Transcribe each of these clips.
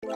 I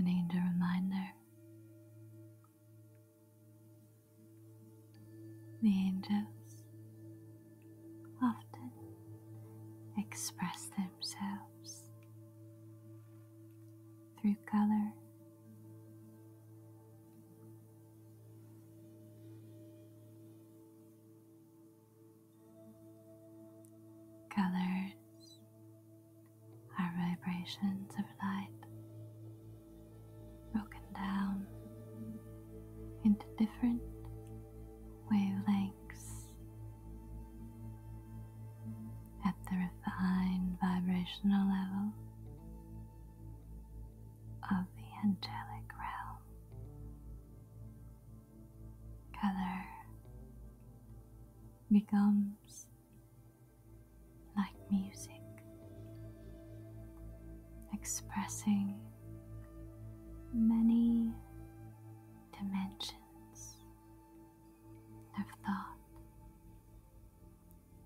need a reminder. The angels often express themselves through color. Colors are vibrations of light broken down into different wavelengths at the refined vibrational level of the angelic realm. Color becomes like music, expressing many dimensions of thought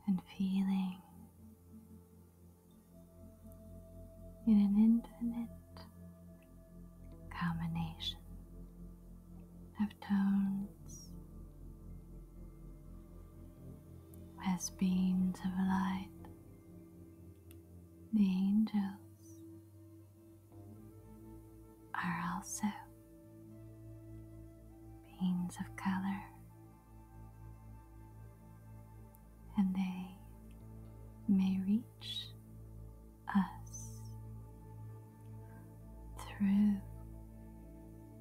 and feeling in an infinite combination of tones as beams of light. The angels are also beans of color, and they may reach us through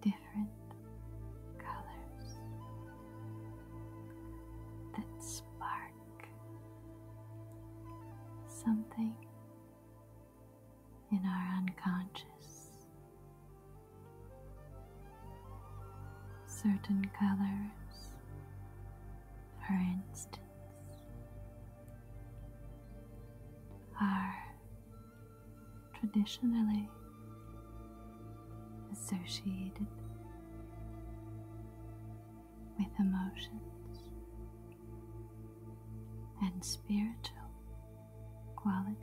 different colors that spark something in our unconscious. Certain colors, for instance, are traditionally associated with emotions and spiritual qualities.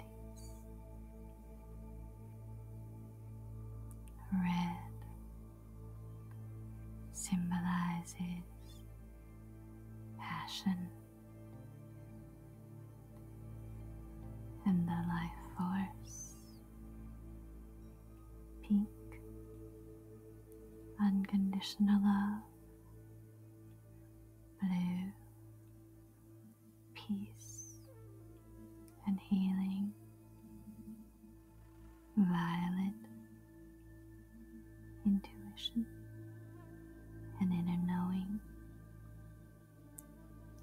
Red symbolizes passion and the life force. Pink, unconditional love blue, peace and healing, violet, intuition and inner knowing,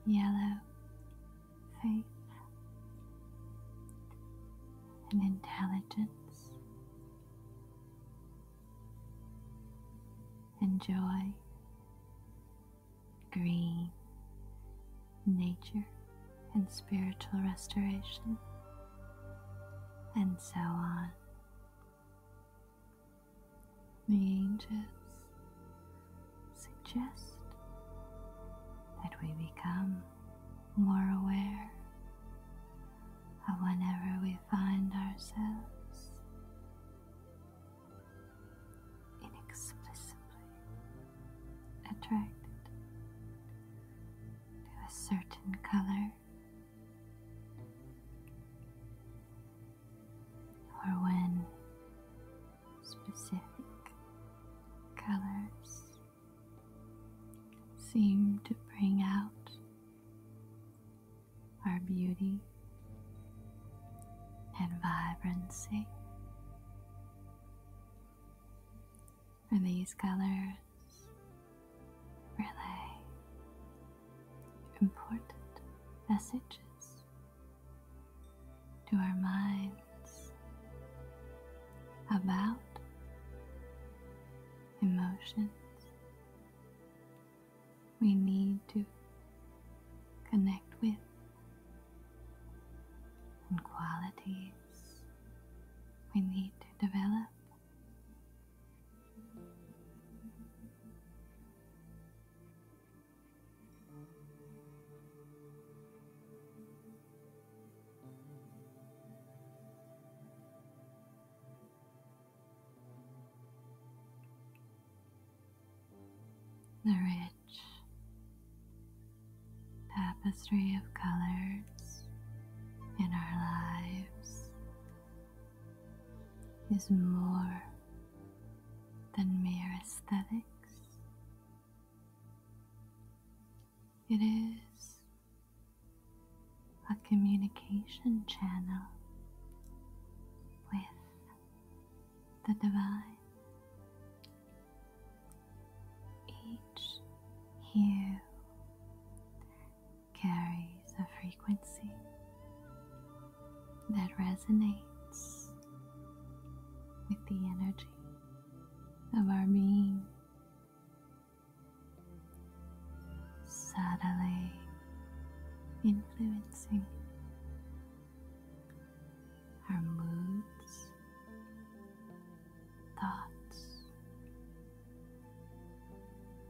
yellow, faith and intelligence. Enjoy green nature and spiritual restoration, and so on. The angels suggest that we become more aware of whenever we find ourselves inexplicably attracted to a certain color. Or when specific colors seem to bring out our beauty and vibrancy. For these colors relay important messages to our minds about emotions. We need to connect with and qualities we need to develop. The rich tapestry of colors in our lives is more than mere aesthetics. It is a communication channel with the divine. Each hue carries a frequency that resonates with the energy of our being subtly influencing our moods, thoughts,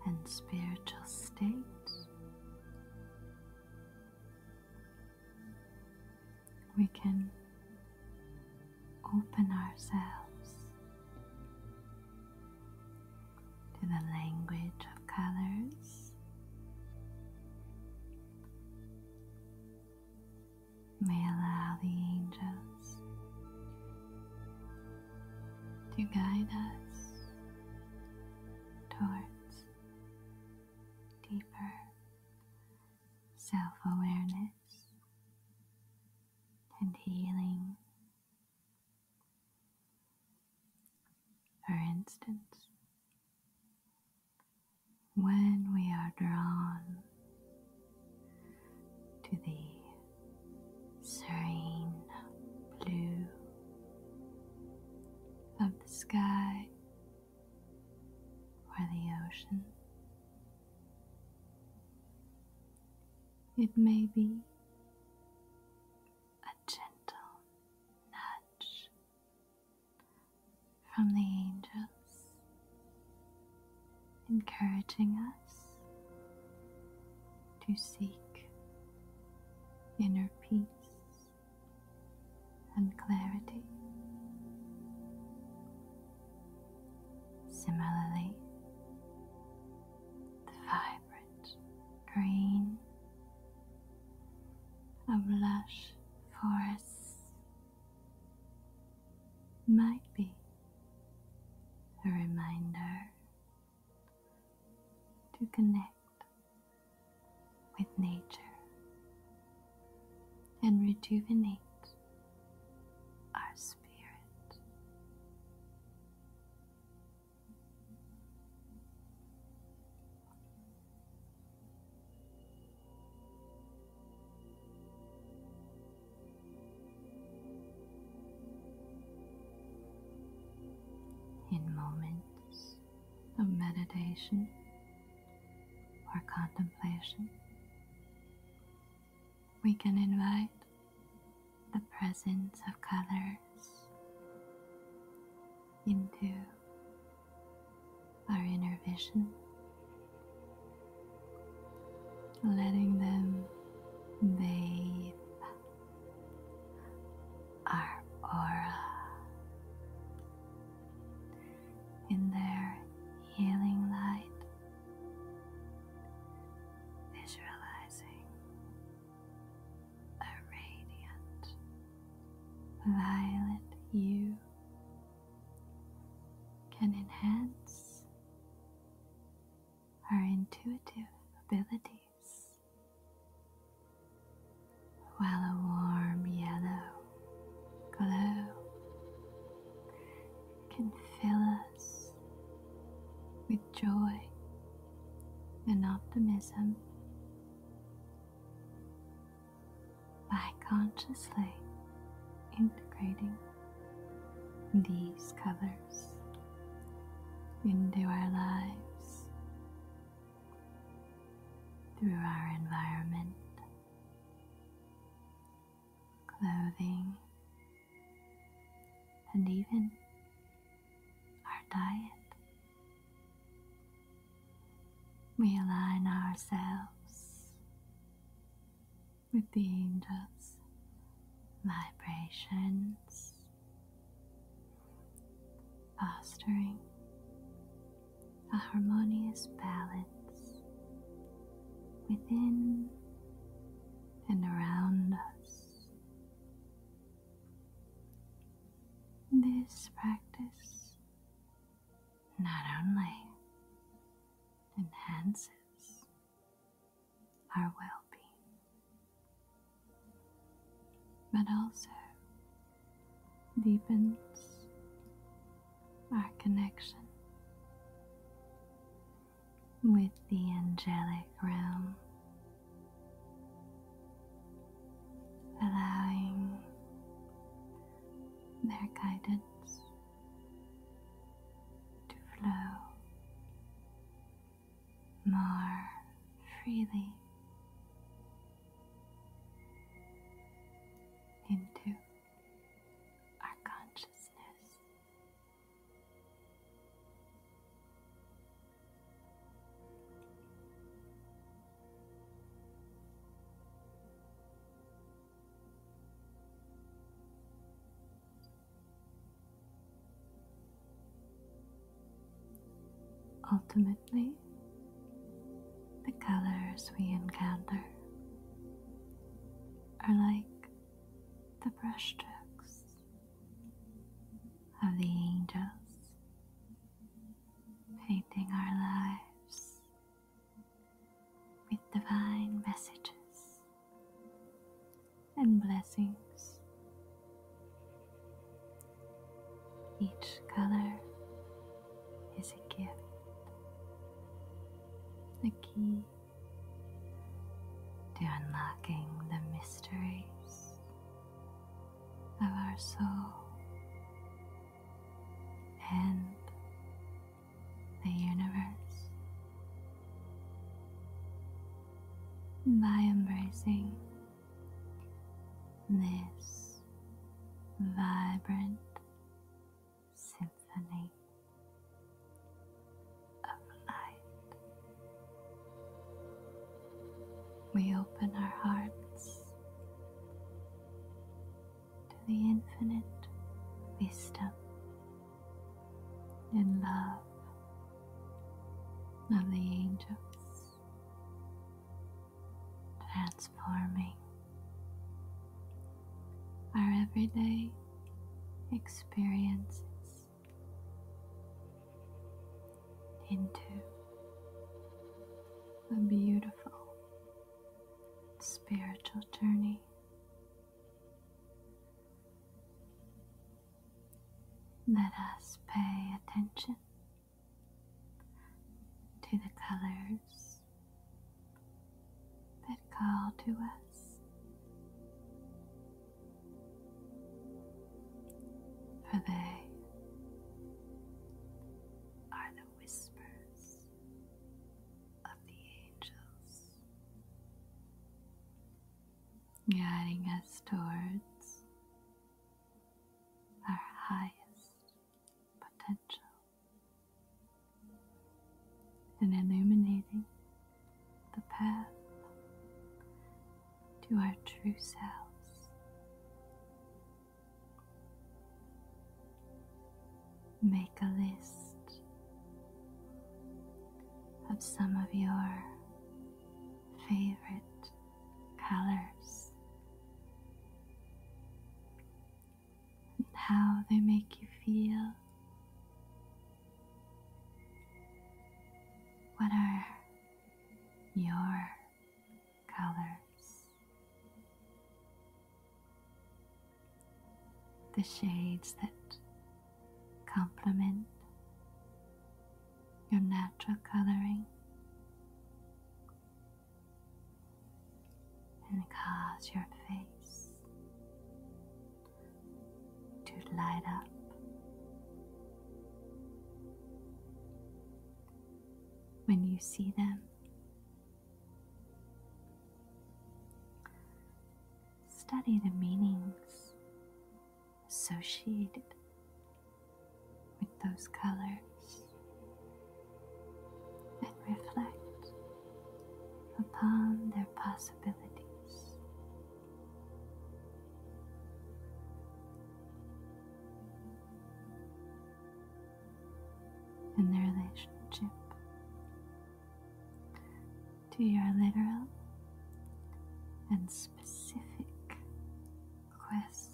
and spiritual state, We can open ourselves to the language of colors. May allow the angels to guide us towards deeper self awareness and healing for instance, when we are drawn to the serene blue of the sky or the ocean, it may be a gentle nudge from the angels, encouraging us to seek inner peace and clarity. Similarly, the vibrant green of lush forests might be a reminder to connect with nature and rejuvenate our spirits. In moments of meditation or contemplation, we can invite the presence of colors into our inner vision, letting them bathe our aura in their healing light visualizing a radiant violet hue can enhance our intuitive abilities, while a warm yellow glow can fill us with joy and optimism by consciously integrating these colors into our lives through our environment, clothing, and even our diet. We align ourselves with the angels' vibrations, fostering a harmonious balance within and around us. This practice not only enhances our well being, but also deepens our connection with the angelic realm, allowing their guidance to flow more freely into our consciousness. Ultimately, the colors we encounter are like the brushstrokes of the angels painting our lives with divine messages and blessings. Each color is a gift, a key to unlocking the mysteries of our soul and the universe. By embracing this vibrant symphony of light. We open our hearts to the infinite wisdom and love of the angels, transforming our everyday experiences into a beautiful spiritual journey. Let us pay attention to the colors that call to us. For they are the whispers of the angels, guiding us towards our highest potential and illuminating the path to our true selves. Make a list of some of your favorite colors and how they make you feel what are your colors? The shades that complement your natural coloring and cause your face to light up. When you see them, study the meanings associated with those colors and reflect upon their possible. In the relationship to your literal and specific quest.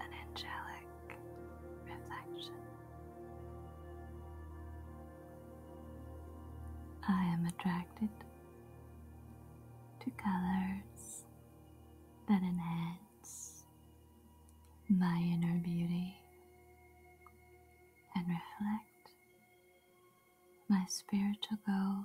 An angelic reflection. I am attracted to colors that enhance my inner beauty and reflect my spiritual goals.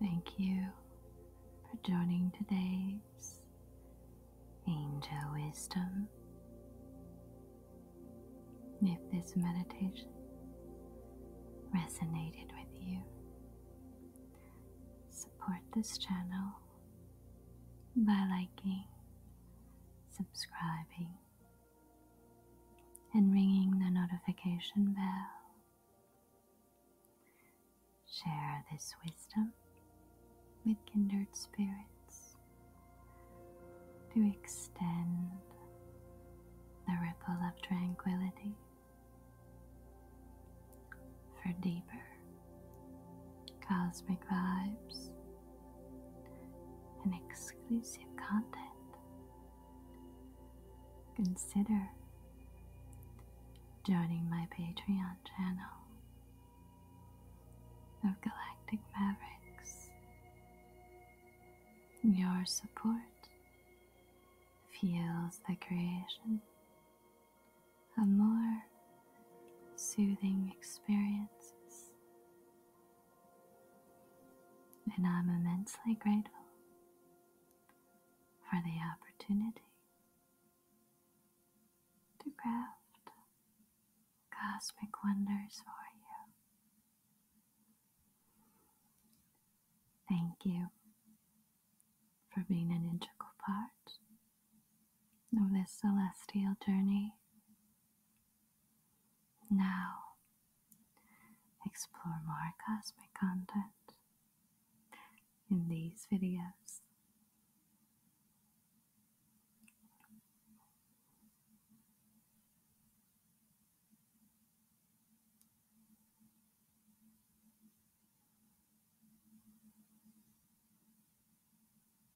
Thank you for joining today's Angel Wisdom. If this meditation resonated with you, support this channel by liking, subscribing, and ringing the notification bell. Share this wisdom with kindred spirits to extend the ripple of tranquility for deeper cosmic vibes and exclusive content. Consider joining my Patreon channel of Galactic Mavericks. Your support fuels the creation of more soothing experiences and I'm immensely grateful for the opportunity to craft cosmic wonders for you. Thank you for being an integral part of this celestial journey. Now, explore more cosmic content in these videos.